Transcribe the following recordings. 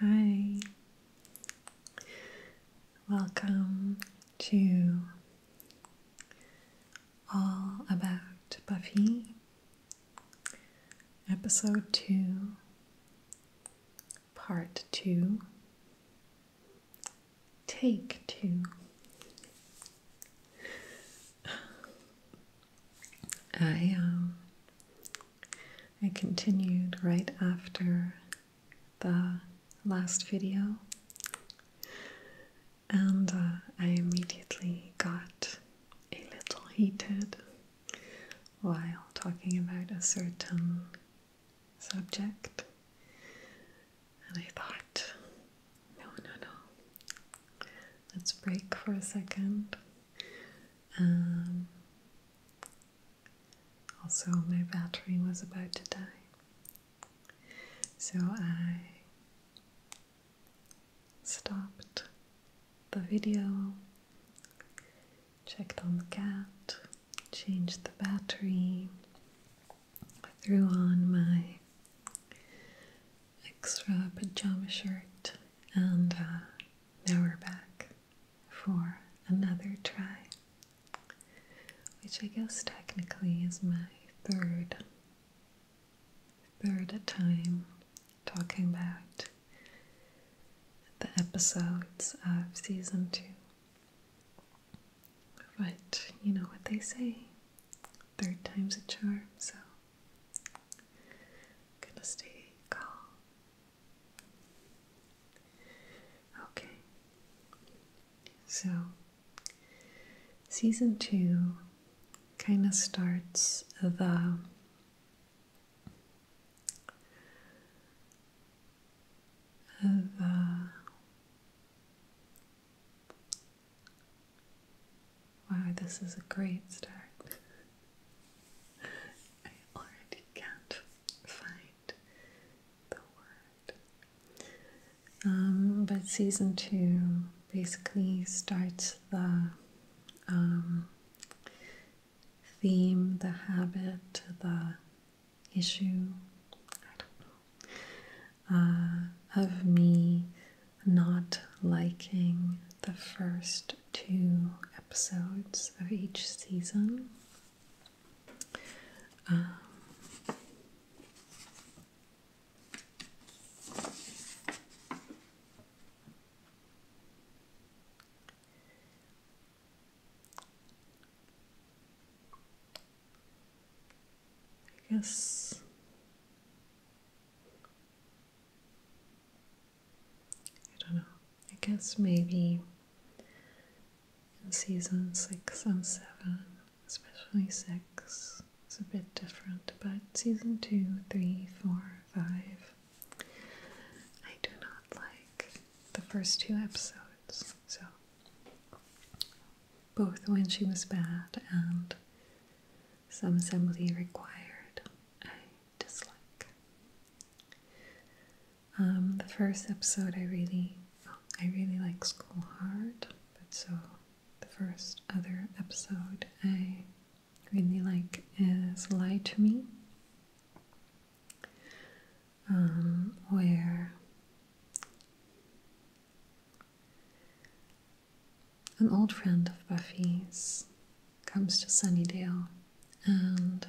Hi, welcome to All About Buffy, Episode 2, Part 2, Take 2. I um, I continued right after the last video, and uh, I immediately got a little heated while talking about a certain subject, and I thought, no, no, no, Let's break for a second. Um, also, my battery was about to die, so I stopped the video, checked on the cat, changed the battery, threw on my extra pajama shirt, and uh, now we're back for another try, which I guess technically is my third third time talking about the episodes of season two. But you know what they say, third time's a charm, so Gonna stay calm. Okay. So, season two kind of starts the uh, the Wow, this is a great start. I already can't find the word. Um, but season two basically starts the um, theme, the habit, the issue, I don't know, uh, of me not liking the first two episodes of each season. Um, I guess I don't know. I guess maybe in season six and seven, especially six, it's a bit different. But season two, three, four, five, I do not like the first two episodes. So both when she was bad and some assembly required. I dislike. Um, the first episode, I really, I really like School Hard, but so the first other episode I really like is Lie to Me, um, where an old friend of Buffy's comes to Sunnydale and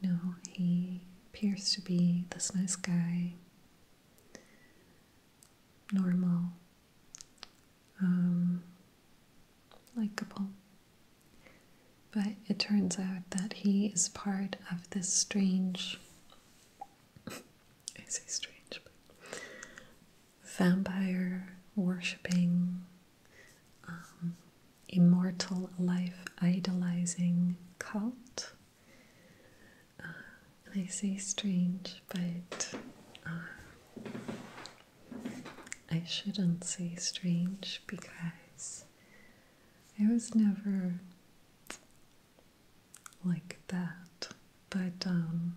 you know, he appears to be this nice guy, normal, um, likable. But it turns out that he is part of this strange, I say strange, but vampire worshipping, um, immortal life idolizing cult. Uh, I say strange, but uh, I shouldn't say strange because I was never like that. But um,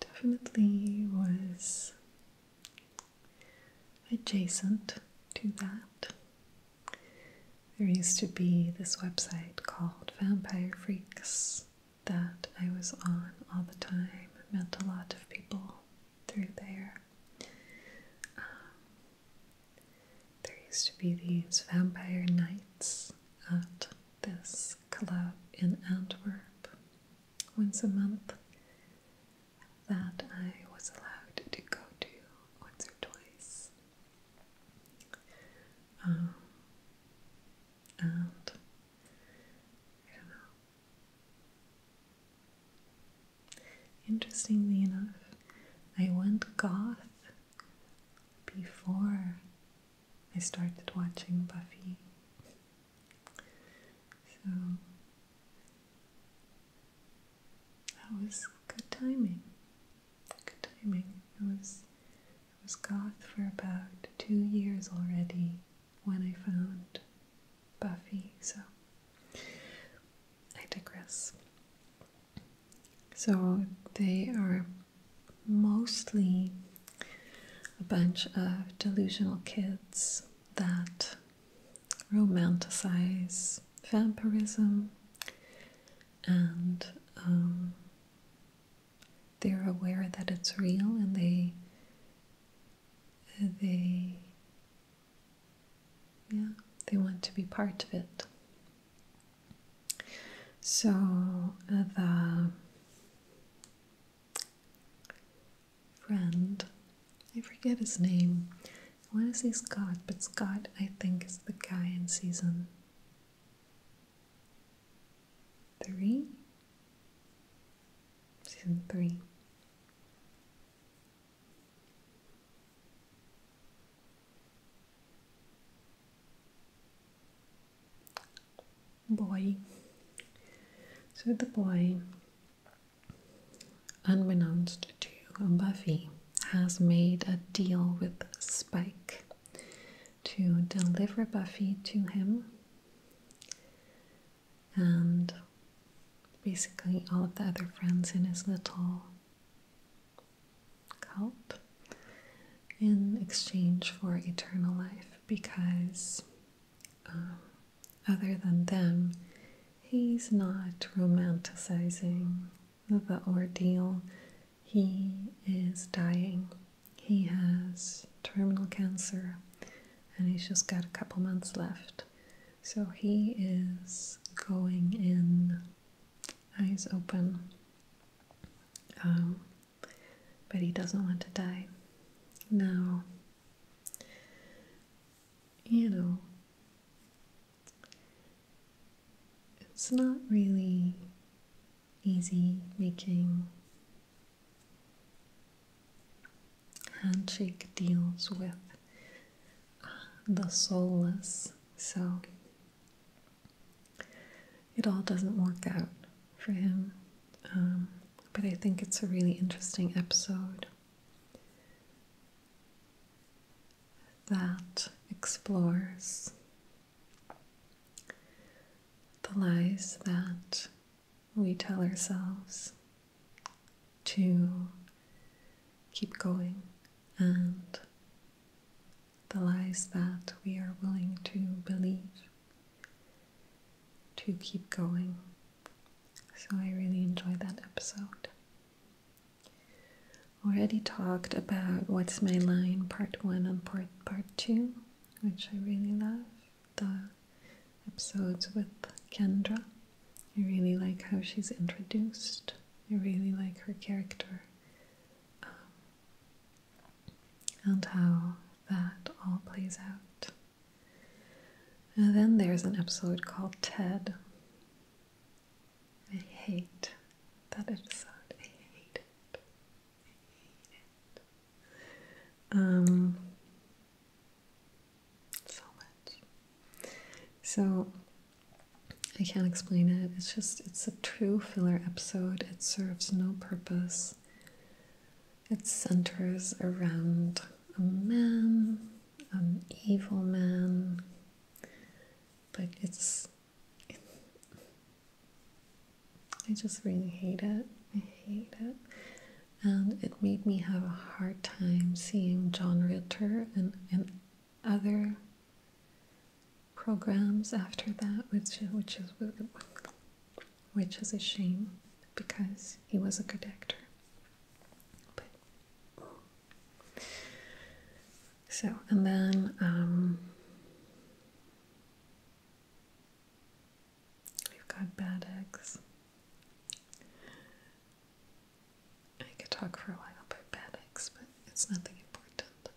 definitely was adjacent to that. There used to be this website called Vampire Freaks that I was on all the time. I met a lot of people through there. Um, there used to be these vampire nights at this club in Antwerp once a month that I was allowed to go to once or twice. Um, and I don't know. Interestingly enough, I went goth before I started watching Buffy. So that was good timing. Good timing. I was I was goth for about two years already when I found Buffy, so I digress. So they are mostly a bunch of delusional kids that romanticize vampirism and um, they're aware that it's real and they they yeah they want to be part of it so the friend, I forget his name. I want to say Scott, but Scott I think is the guy in season three. Season three boy. So the boy, unbeknownst to Buffy, has made a deal with Spike to deliver Buffy to him. And basically, all of the other friends in his little help in exchange for eternal life because, um, other than them, he's not romanticizing the ordeal. He is dying. He has terminal cancer and he's just got a couple months left. So he is going in eyes open um, but he doesn't want to die. Now, you know, it's not really easy making handshake deals with the soulless, so it all doesn't work out for him. Um, but I think it's a really interesting episode that explores the lies that we tell ourselves to keep going and the lies that we are willing to believe to keep going. So I really enjoyed that episode. Already talked about What's My Line Part 1 and Part, part 2, which I really love. The episodes with Kendra. I really like how she's introduced. I really like her character. Um, and how that all plays out. And then there's an episode called Ted. I hate that episode. I hate it. Um, so much. So I can't explain it. It's just, it's a true filler episode. It serves no purpose. It centers around a man, an evil man, but it's. I just really hate it. I hate it. And it made me have a hard time seeing John Ritter and, and other programs after that, which which is which is a shame because he was a good actor. so and then um, we've got Bad Eggs. I could talk for a while about Bad Eggs, but it's nothing important.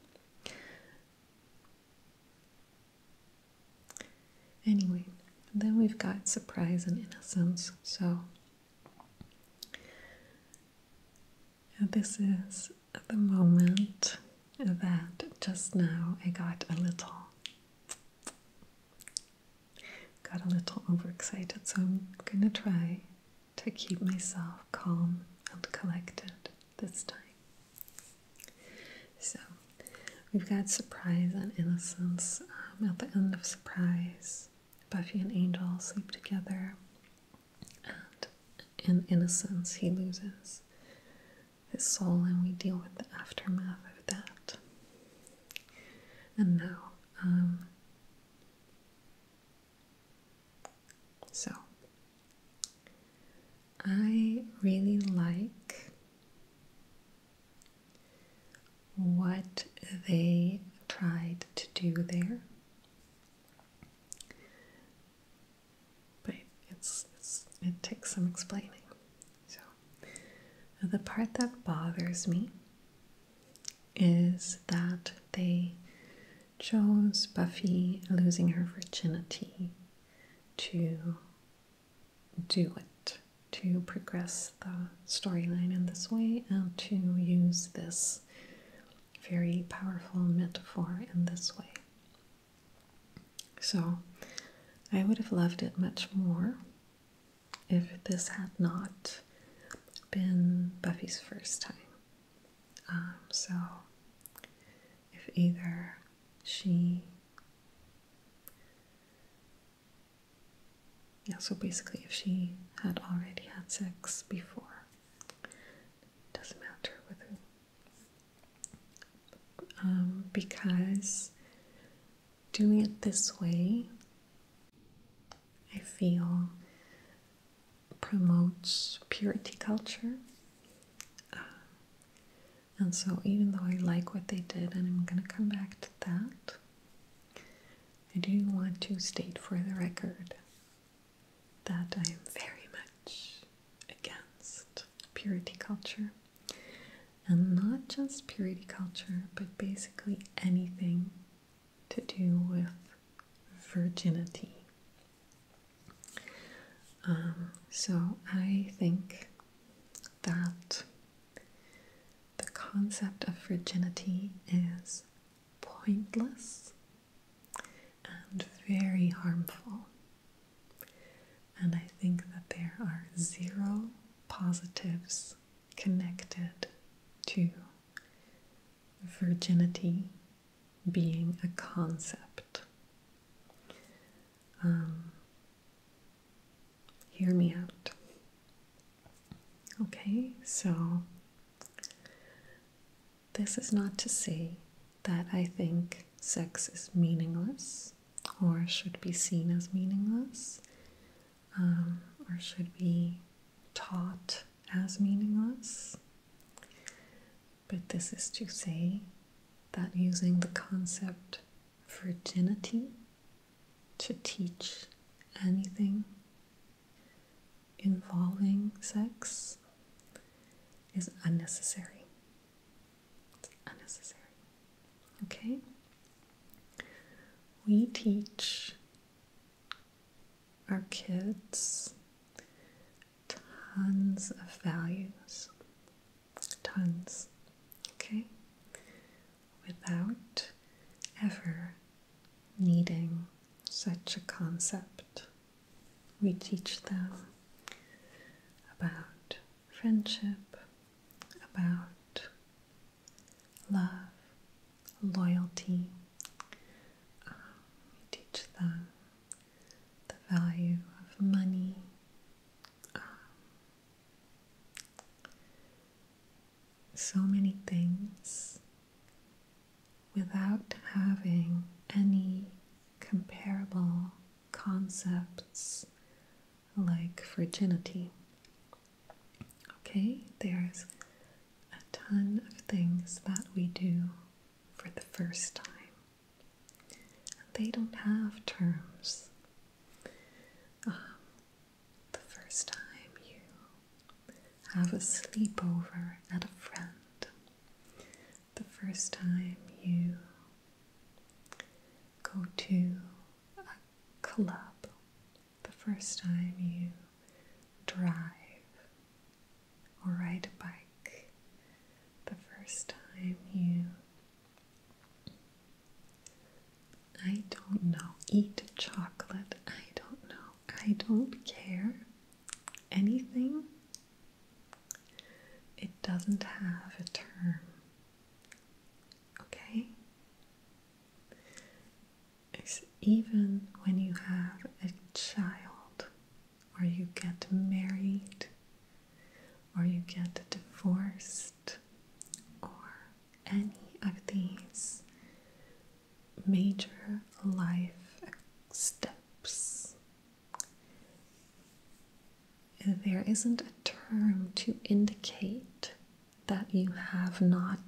Anyway, then we've got surprise and innocence. So this is the moment that just now I got a little got a little overexcited, so I'm gonna try to keep myself calm and collected this time. So, we've got Surprise and Innocence. Um, at the end of Surprise, Buffy and Angel sleep together, and in Innocence, he loses his soul, and we deal with the aftermath of that. And now, um, so, I really like what they tried to do there. But it's, it takes some explaining. So the part that bothers me is that they shows Buffy losing her virginity to do it, to progress the storyline in this way, and to use this very powerful metaphor in this way. So, I would have loved it much more if this had not been Buffy's first time. Um, so, if either she, yeah, so basically, if she had already had sex before, doesn't matter with who. Um, because doing it this way, I feel promotes purity culture. Uh, and so, even though I like what they did, and I'm going to come back to that, I do want to state for the record that I am very much against purity culture. And not just purity culture, but basically anything to do with virginity. Um, so I think that the concept of virginity is pointless and very harmful. And I think that there are zero positives connected to virginity being a concept. Um, hear me out. Okay, so this is not to say that I think sex is meaningless or should be seen as meaningless um, or should be taught as meaningless but this is to say that using the concept virginity to teach anything involving sex is unnecessary. It's unnecessary. Okay? We teach our kids tons of values. Tons. Okay? Without ever needing such a concept. We teach them about friendship, about love, loyalty, we um, teach them the value of money. Um, so many things without having any comparable concepts like virginity. Okay, there's a ton of things that we do for the first time. They don't have terms. Um, the first time you have a sleepover at a friend, the first time you go to a club, the first time you drive or ride a bike the first time you I don't know eat chocolate I don't know I don't care anything it doesn't have a term okay it's even when you have a child or you get married, or you get divorced, or any of these major life steps. There isn't a term to indicate that you have not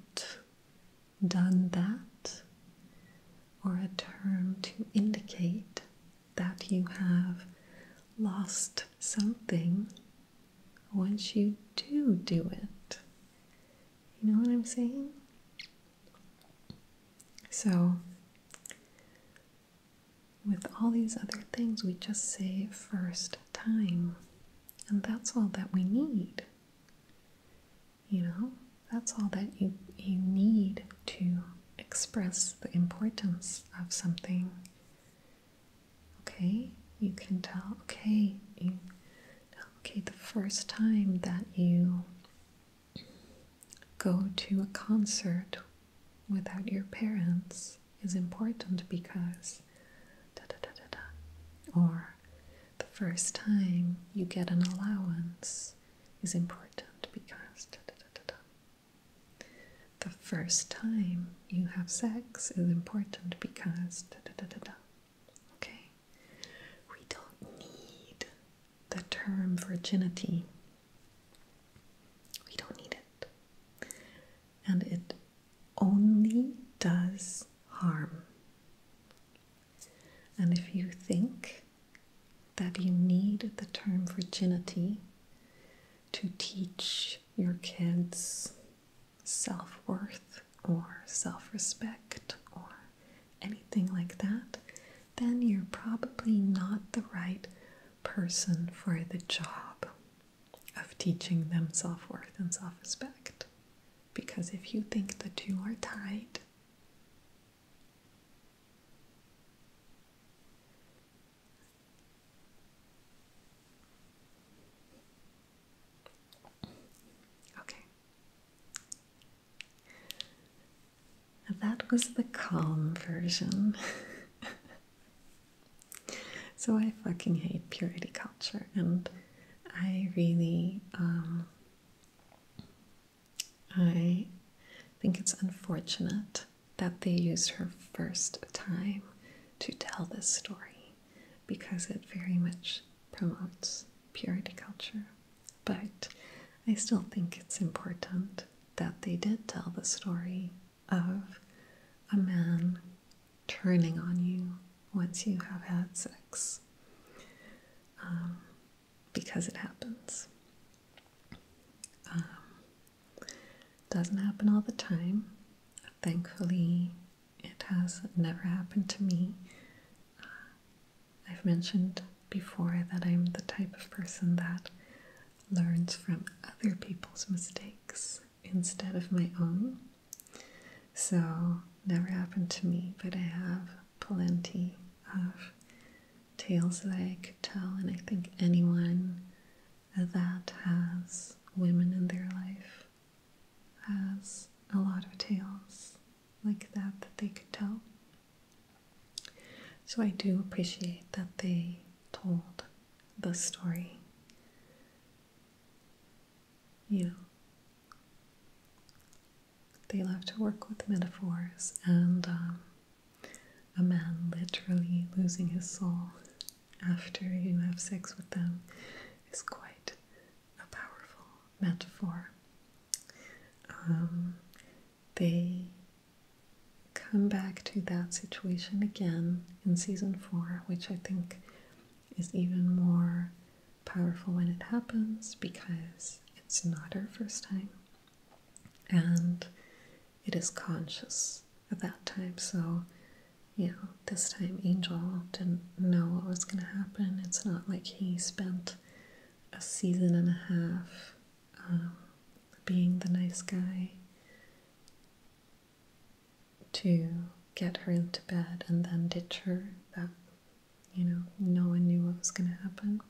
done that, or a term to indicate that you have lost something once you do do it. You know what I'm saying? So, with all these other things, we just say first time, and that's all that we need. You know, that's all that you, you need to express the importance of something. Okay, you can tell, okay, you, okay, the first time that you go to a concert without your parents is important because da da da da da. Or the first time you get an allowance is important because the first time you have sex is important because okay we don't need the term virginity we don't need it and it only does harm and if you think that you need the term virginity to teach your kids self worth or self respect or anything like that, then you're probably not the right person for the job of teaching them self worth and self respect. Because if you think the two are tied, Okay. That was the calm version. so I fucking hate purity culture, and I really um, I think it's unfortunate that they used her first time to tell this story because it very much promotes purity culture. But I still think it's important that they did tell the story of a man turning on you once you have had sex. Um, because it happens. Um, doesn't happen all the time. Thankfully, it has never happened to me. Uh, I've mentioned before that I'm the type of person that learns from other people's mistakes instead of my own. So, never happened to me, but I have plenty of tales that I could tell, and I think anyone that has women in their life has a lot of tales like that that they could tell. So I do appreciate that they told the story. You know, they love to work with metaphors and um, a man literally losing his soul after you have sex with them is quite a powerful metaphor. Um, they come back to that situation again in season four, which I think is even more powerful when it happens because it's not her first time and it is conscious at that time. So, you know, this time Angel didn't know what was going to happen. It's not like he spent a season and a half um, being the nice guy to get her into bed and then ditch her. That you know, no one knew what was going to happen.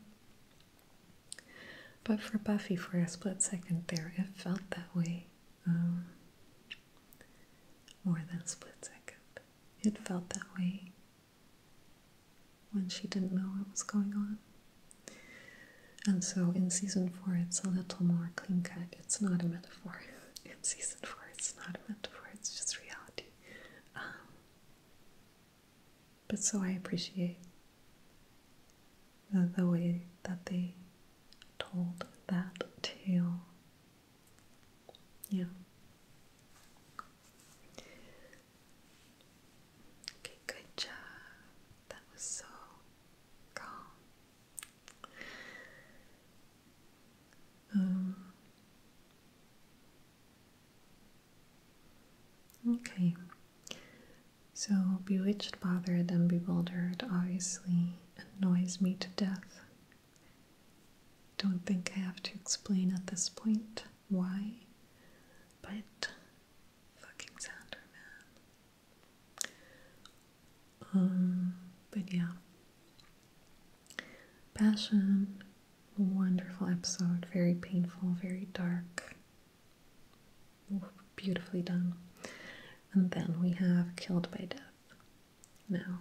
But for Buffy, for a split second there, it felt that way. Um, more than split second. It felt that way when she didn't know what was going on. And so in season four, it's a little more clean cut. It's not a metaphor. In season four, it's not a metaphor, it's just reality. Um, but so I appreciate the, way that they told that tale. Yeah. Okay, good job. That was so Um, Okay, so bewitched, bothered, and bewildered obviously annoys me to death. Don't think I have to explain at this point why, but fucking Xander, Um, but yeah, Passion, wonderful episode, very painful, very dark, beautifully done. And then we have Killed by Death. Now,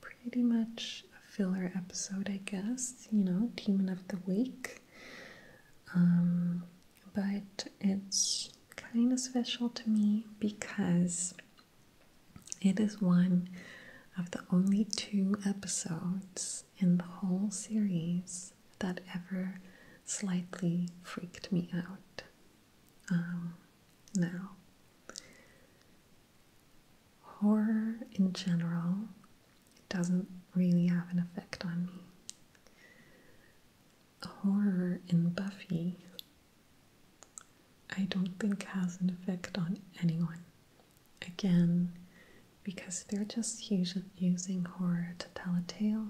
pretty much a filler episode, I guess, you know, Demon of the Week. Um, but it's kind of special to me because it is one of the only two episodes in the whole series that ever slightly freaked me out. Um, now, horror in general doesn't really have an effect on me. Horror in Buffy I don't think has an effect on anyone. Again, because they're just using horror to tell a tale,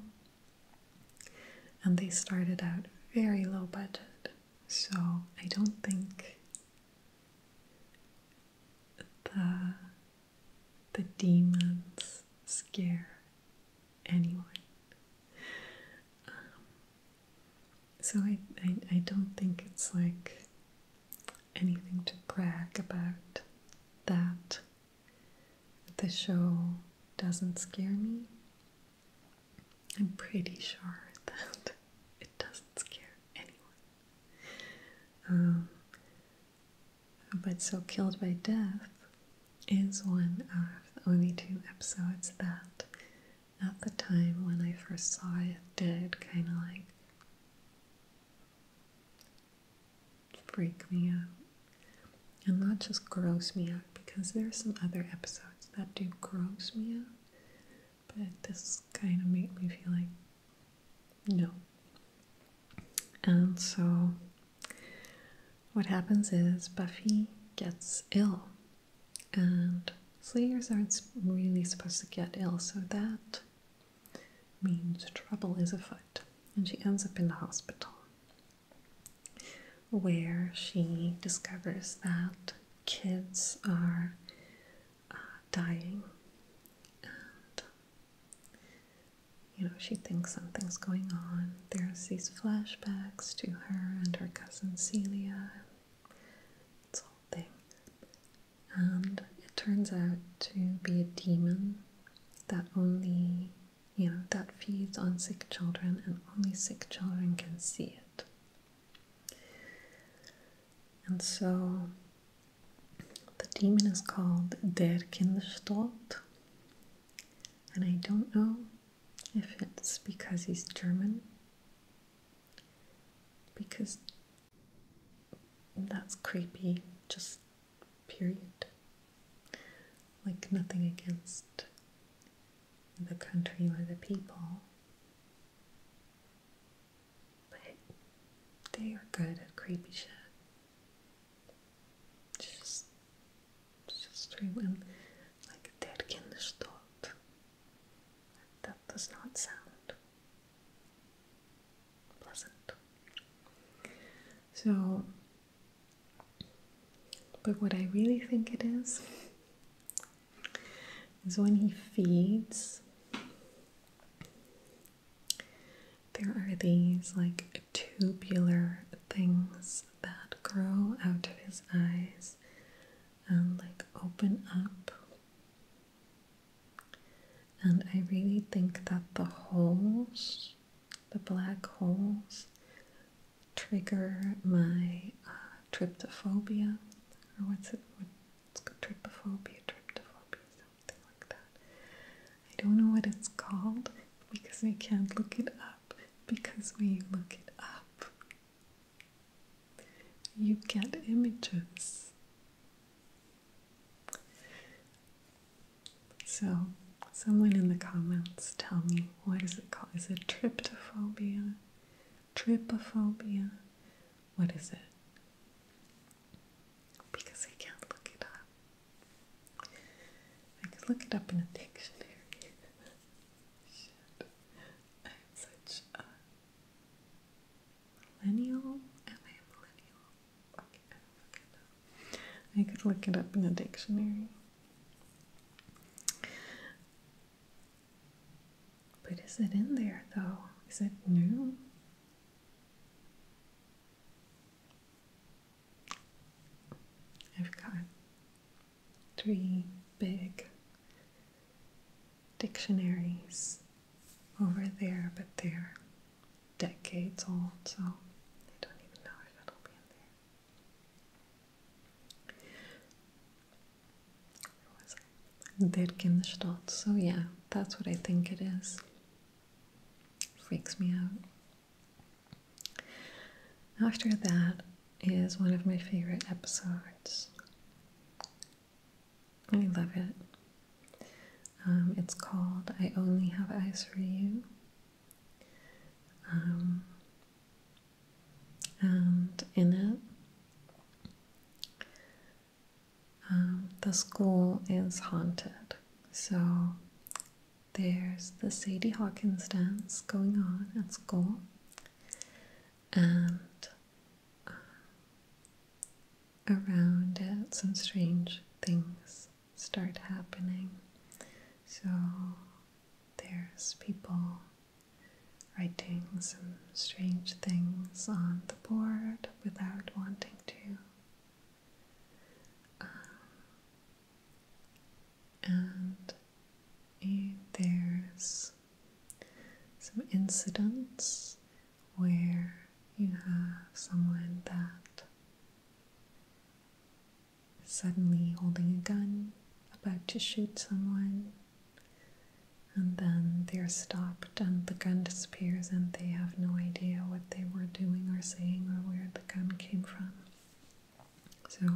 and they started out very low budget, so I don't think the the demons scare anyone. Um, so I, I, don't think it's like anything to brag about that the show doesn't scare me. I'm pretty sure that it doesn't scare anyone. Um, but so Killed by Death is one of the only two episodes that at the time when I first saw it did kind of like freak me out. And not just gross me out, because there are some other episodes that do gross me out, but this kind of made me feel like, no. And so, what happens is Buffy gets ill and slayers aren't really supposed to get ill, so that means trouble is afoot. And she ends up in the hospital where she discovers that kids are uh, dying. And, you know, she thinks something's going on. There's these flashbacks to her and her cousin Celia its whole thing. And it turns out to be a demon that only, you know, that feeds on sick children and only sick children can see it. And so the demon is called Der Kinderstod. And I don't know if it's because he's German, because that's creepy, just period. Like, nothing against the country or the people, but they are good at creepy shit. Just History will like dead kind of thought. That does not sound pleasant. So, but what I really think it is is when he feeds, there are these like tubular things that grow out of his eyes and um, like open up. And I really think that the holes, the black holes, trigger my uh, tryptophobia, or what's it? What's it trypophobia, tryptophobia, something like that. I don't know what it's called because I can't look it up. Because we look it up, you get images. So, someone in the comments tell me what is it called? Is it triptophobia? Trypophobia? What is it? Because I can't look it up. I could look it up in a dictionary. I'm such a millennial. Am I a millennial? I could look it up in a dictionary. But is it in there though? Is it new? i three big dictionaries over there, but they're decades old, so I don't even know if it'll be in there. Where So yeah, that's what I think it is. Freaks me out. After that is one of my favorite episodes. I love it. Um, it's called I Only Have Eyes for You. Um, and in it, um, the school is haunted. So there's the Sadie Hawkins dance going on at school and uh, around it some strange things start happening. So there's people writing some strange things on the board without wanting to. Um, and there's some incidents where you have someone that suddenly holding a gun about to shoot someone and then they're stopped and the gun disappears and they have no idea what they were doing or saying or where the gun came from so,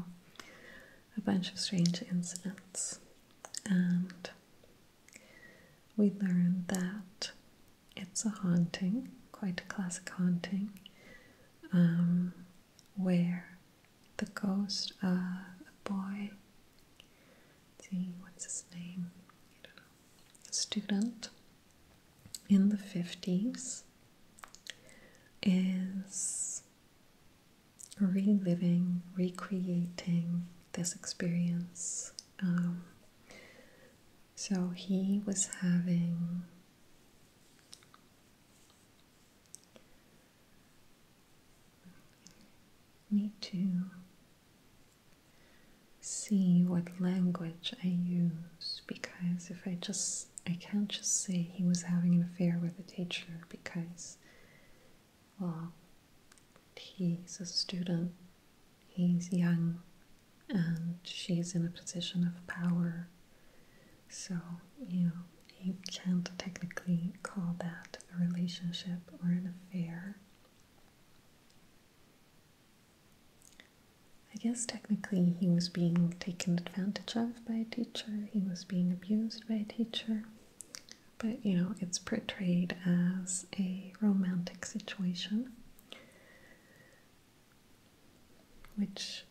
a bunch of strange incidents, and we learned that it's a haunting, quite a classic haunting, um, where the ghost of a boy, see, what's his name? student in the 50s is reliving, recreating this experience. Um, so he was having need to see what language I use because if I just I can't just say he was having an affair with a teacher because, well, he's a student, he's young, and she's in a position of power. So, you know, you can't technically call that a relationship or an affair. I guess technically he was being taken advantage of by a teacher. He being abused by a teacher. But you know, it's portrayed as a romantic situation, which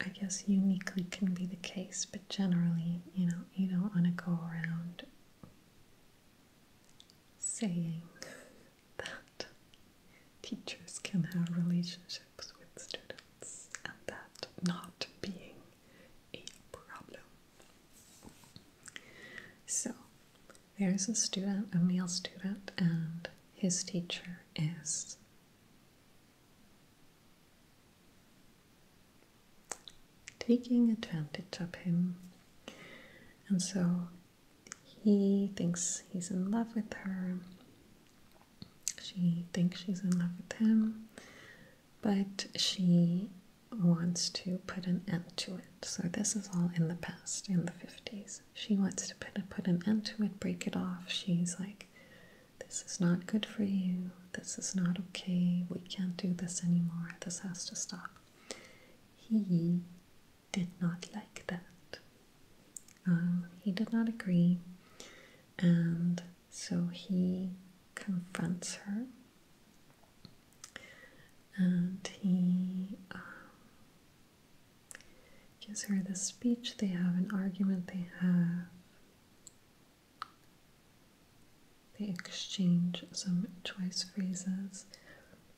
I guess uniquely can be the case, but generally, you know, you don't want to go around saying that teachers can have relationships with students and that not being a problem. So, there's a student, a male student, and his teacher is taking advantage of him. And so he thinks he's in love with her, she thinks she's in love with him, but she wants to put an end to it. So, this is all in the past, in the 50s. She wants to put, a, put an end to it, break it off. She's like, This is not good for you. This is not okay. We can't do this anymore. This has to stop. He did not like that. Um, he did not agree and so he confronts her and he um, gives her the speech. They have an argument, they have they exchange some choice phrases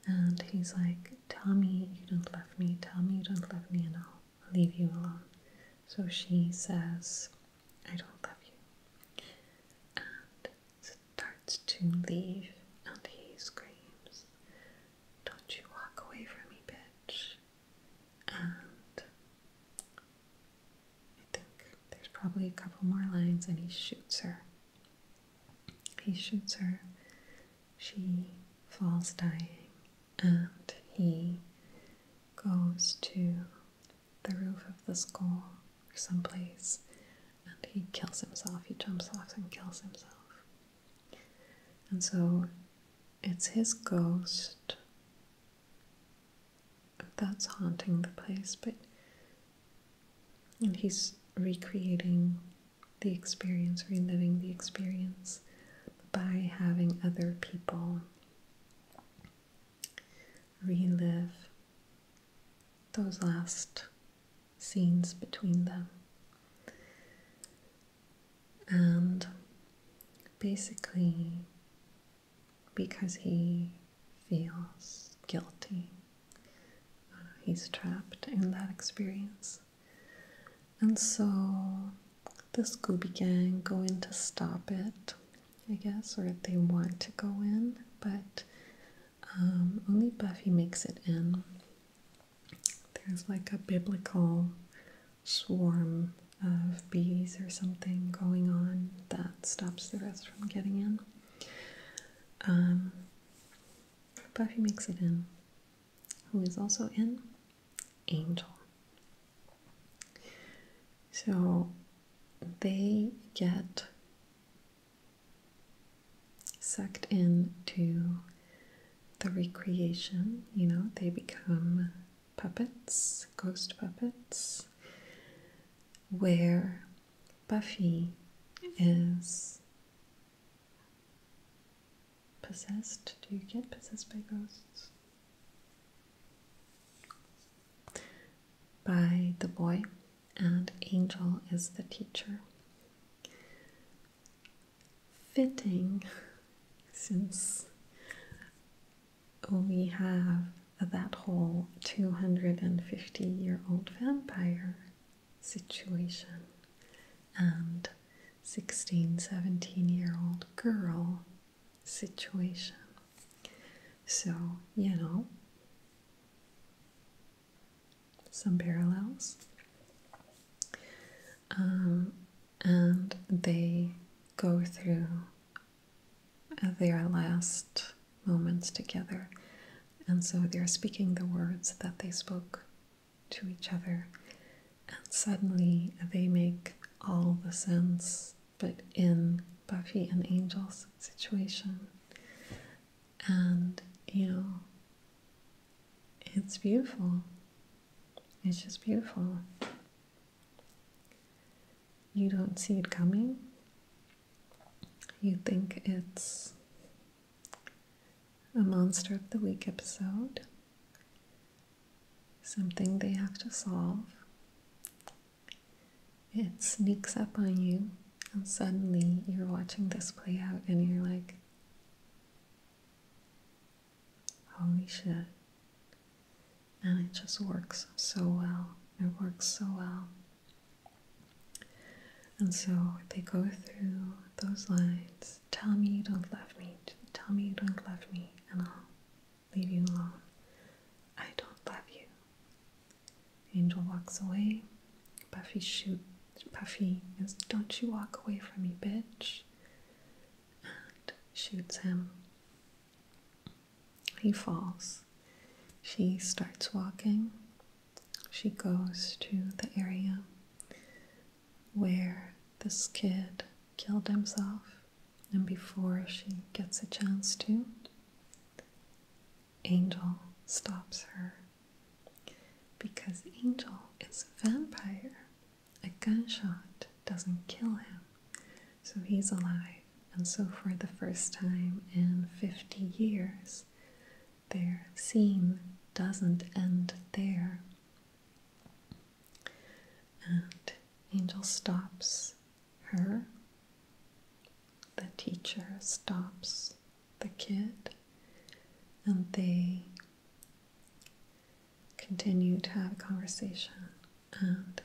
and he's like, Tell me you don't love me, tell me you don't love me and i leave you alone. So she says, I don't love you. And starts to leave, and he screams, Don't you walk away from me, bitch. I think there's probably a couple more lines, and he shoots her. He shoots her. She falls dying, and he goes to the roof of the school or someplace and he kills himself. He jumps off and kills himself. And so it's his ghost that's haunting the place, but and he's recreating the experience, reliving the experience by having other people relive those last scenes between them. And basically, because he feels guilty, uh, he's trapped in that experience. And so the Scooby Gang go in to stop it, I guess, or they want to go in, but um, only Buffy makes it in. There's like a biblical swarm of bees or something going on that stops the rest from getting in. Um, Buffy makes it in who is also in angel. So they get sucked into the recreation, you know, they become puppets, ghost puppets, where Buffy is possessed? Do you get possessed by ghosts? By the boy, and Angel is the teacher. Fitting, since we have that whole 250 year old vampire situation and 16, 17 year old girl situation. So, you know, some parallels. Um, and they go through their last moments together. And so they're speaking the words that they spoke to each other, and suddenly they make all the sense, but in Buffy and Angel's situation. And you know, it's beautiful. It's just beautiful. You don't see it coming. You think it's a Monster of the Week episode, something they have to solve. It sneaks up on you, and suddenly you're watching this play out, and you're like, holy shit. And it just works so well. It works so well. And so they go through those lines tell me you don't love me. tell me you don't love me, and I'll leave you alone. I don't love you. Angel walks away. Puffy shoots. Puffy is, don't you walk away from me, bitch. shoots him. He falls. She starts walking. She goes to the area where this kid killed himself, and before she gets a chance to, Angel stops her because Angel is a vampire. A gunshot doesn't kill him, so he's alive. And so, for the first time in 50 years, their scene doesn't end there. And Angel stops her. The teacher stops the kid, and they continue to have a conversation. And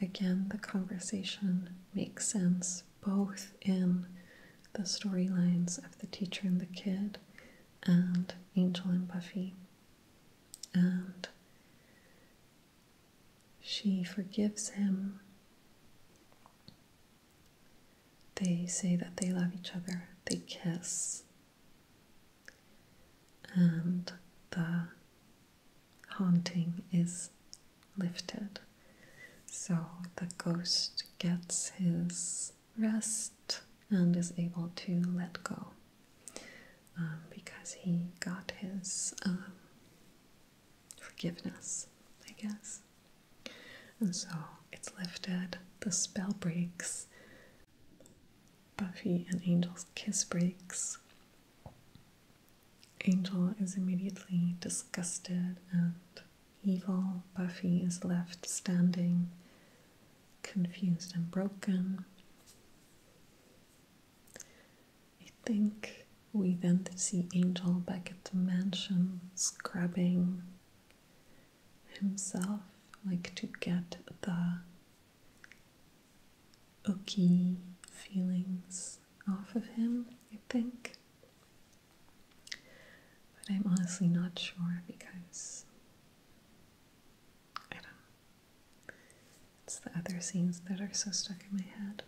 again, the conversation makes sense both in the storylines of the teacher and the kid, and Angel and Buffy and she forgives him. They say that they love each other, they kiss, and the haunting is lifted. So the ghost gets his rest and is able to let go um, because he got his um, forgiveness, I guess. And so it's lifted, the spell breaks, Buffy and Angel's kiss breaks. Angel is immediately disgusted and evil. Buffy is left standing confused and broken. I think we then see Angel back at the mansion scrubbing himself, like to get the ooky feelings off of him, I think. But I'm honestly not sure because I don't It's the other scenes that are so stuck in my head.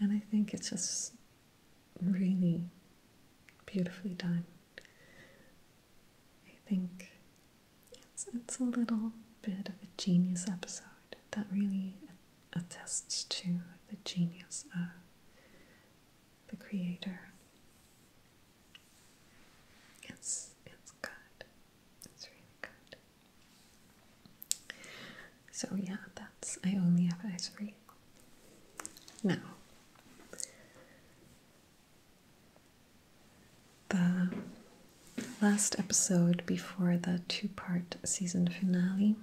And I think it's just really beautifully done. I think it's, it's a little bit of a genius episode that really attests to the genius of the creator it's it's good. It's really good. So yeah, that's I only have eyes for you. Now the last episode before the two-part season finale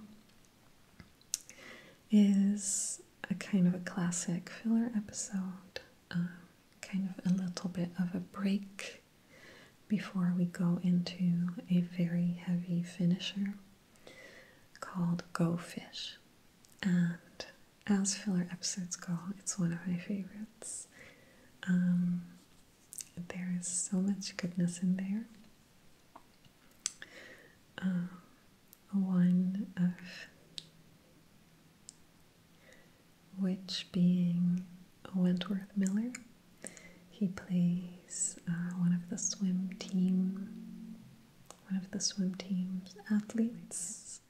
is a kind of a classic filler episode. Um, kind of a little bit of a break before we go into a very heavy finisher called Go Fish. And as filler episodes go, it's one of my favorites. Um, there is so much goodness in there. Uh, one of which being Wentworth Miller. He plays uh, one of the swim team, one of the swim team's athletes.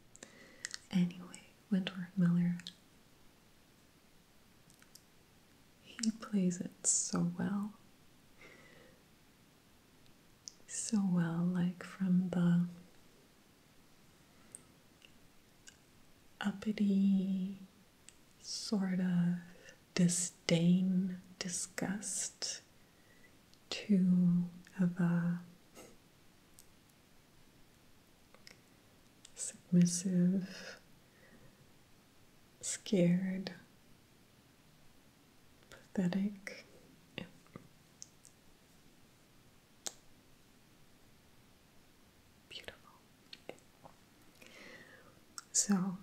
Anyway, Wentworth Miller. He plays it so well. So well, like from the uppity sort of disdain, disgust to of a submissive, scared, pathetic. Beautiful. So,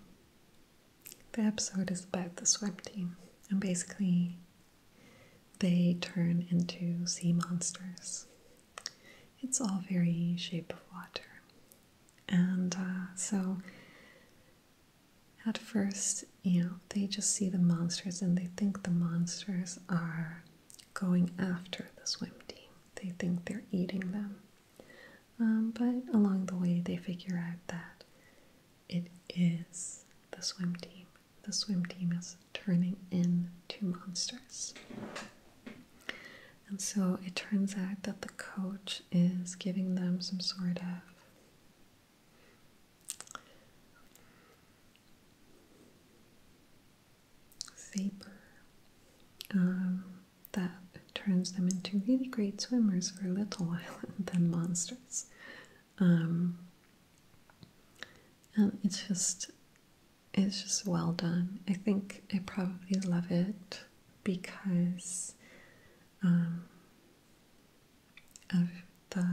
the episode is about the swim team, and basically, they turn into sea monsters. It's all very shape of water. And uh, so, at first, you know, they just see the monsters and they think the monsters are going after the swim team. They think they're eating them. Um, but along the way, they figure out that it is the swim team. The swim team is turning into monsters. And so it turns out that the coach is giving them some sort of um, that turns them into really great swimmers for a little while and then monsters. Um, and it's just it's just well done. I think I probably love it because um, of the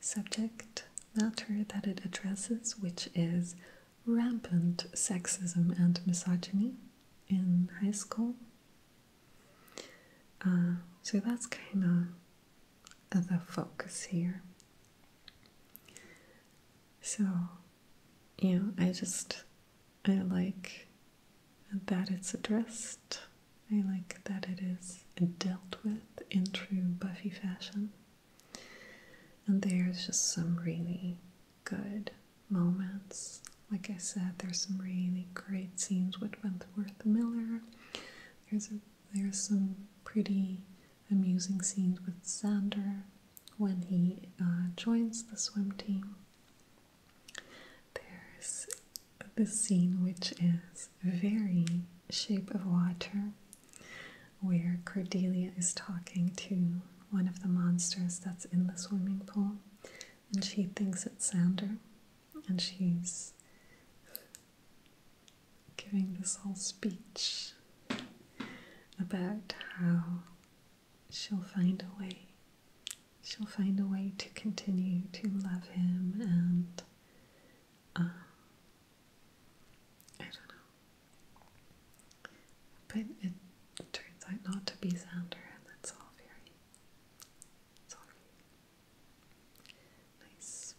subject matter that it addresses, which is rampant sexism and misogyny in high school. Uh, so that's kind of the focus here. So, you know, I just, I like that it's addressed I like that it is dealt with in true Buffy fashion. And there's just some really good moments. Like I said, there's some really great scenes with Wentworth Miller. There's a, there's some pretty amusing scenes with Xander when he uh, joins the swim team. There's the scene, which is very Shape of Water, where Cordelia is talking to one of the monsters that's in the swimming pool, and she thinks it's Sander, and she's giving this whole speech about how she'll find a way. She'll find a way to continue to love him and uh, I don't know. But it turns out not to be Xander, and that's all very Nice.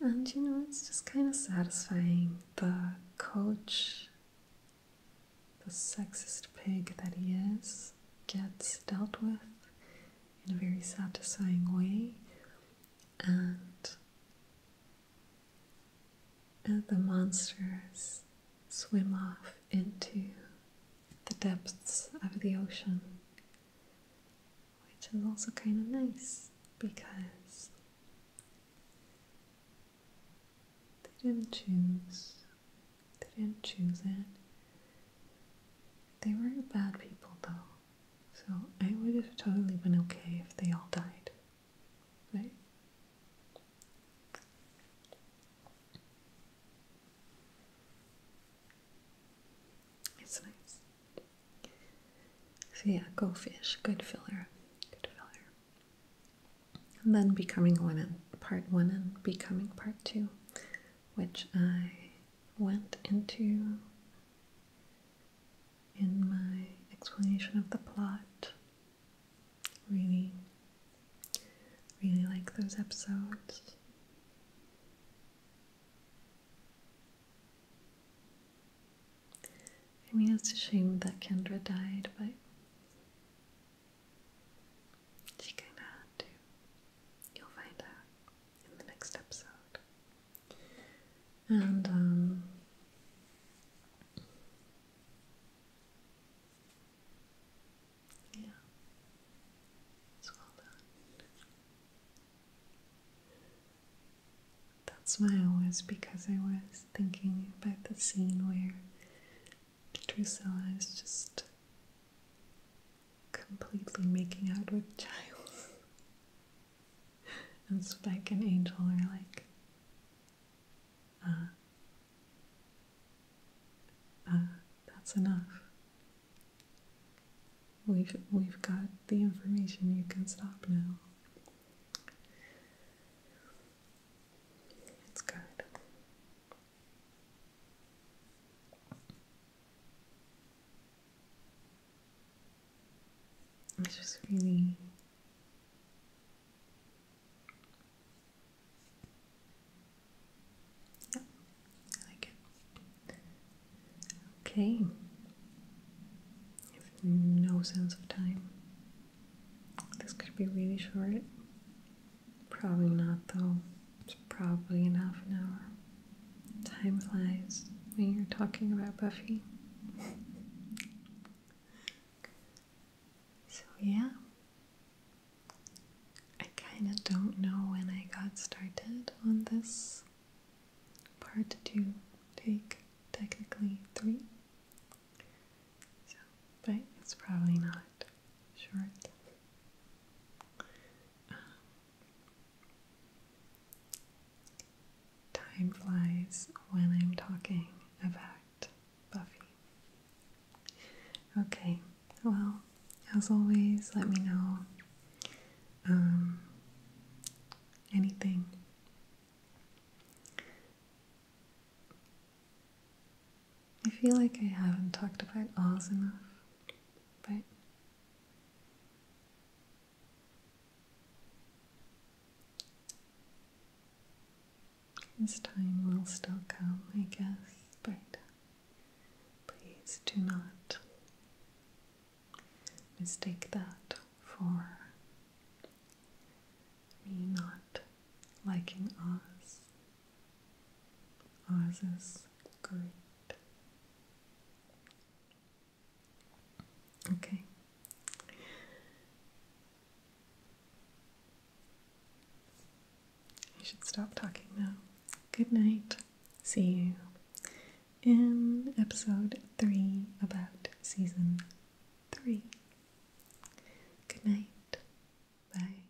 And you know, it's just kind of satisfying. The coach, the sexist pig that he is, gets dealt with in a very satisfying way and uh, the monsters swim off into the depths of the ocean, which is also kind of nice because they didn't choose they didn't choose it. They were bad people though. So I would have totally been okay if they all died. Right? It's nice. So yeah, go fish. Good filler. Good filler. And then becoming one and part one and becoming part two, which I went into in my explanation of the plot. Really, really like those episodes. I mean, it's a shame that Kendra died, but is she kinda hard You'll find out in the next episode. And um, Yeah. It's well done. That smile was because I was thinking about the scene where Drusilla is just completely making out with Giles. and Spike and Angel are like, uh, uh, that's enough. We've, we've got the information, you can stop now. It's good. It's just really yeah, I like it. Okay. no sense of time. This could be really short. Probably not, though. It's probably in half an hour. Time flies when you're talking about Buffy. so, yeah. I kind of don't know when I got started on this part two, take technically three. So, but it's probably not short time flies when I'm talking about Buffy. Okay, well, as always, let me know um, anything. I feel like I haven't talked about Oz enough, but this time will still come, I guess, but please do not mistake that for me not liking Oz. Ağzınız good. Okay. I should stop talking now. Good night. See you in episode 3 about season 3. Good night. Bye.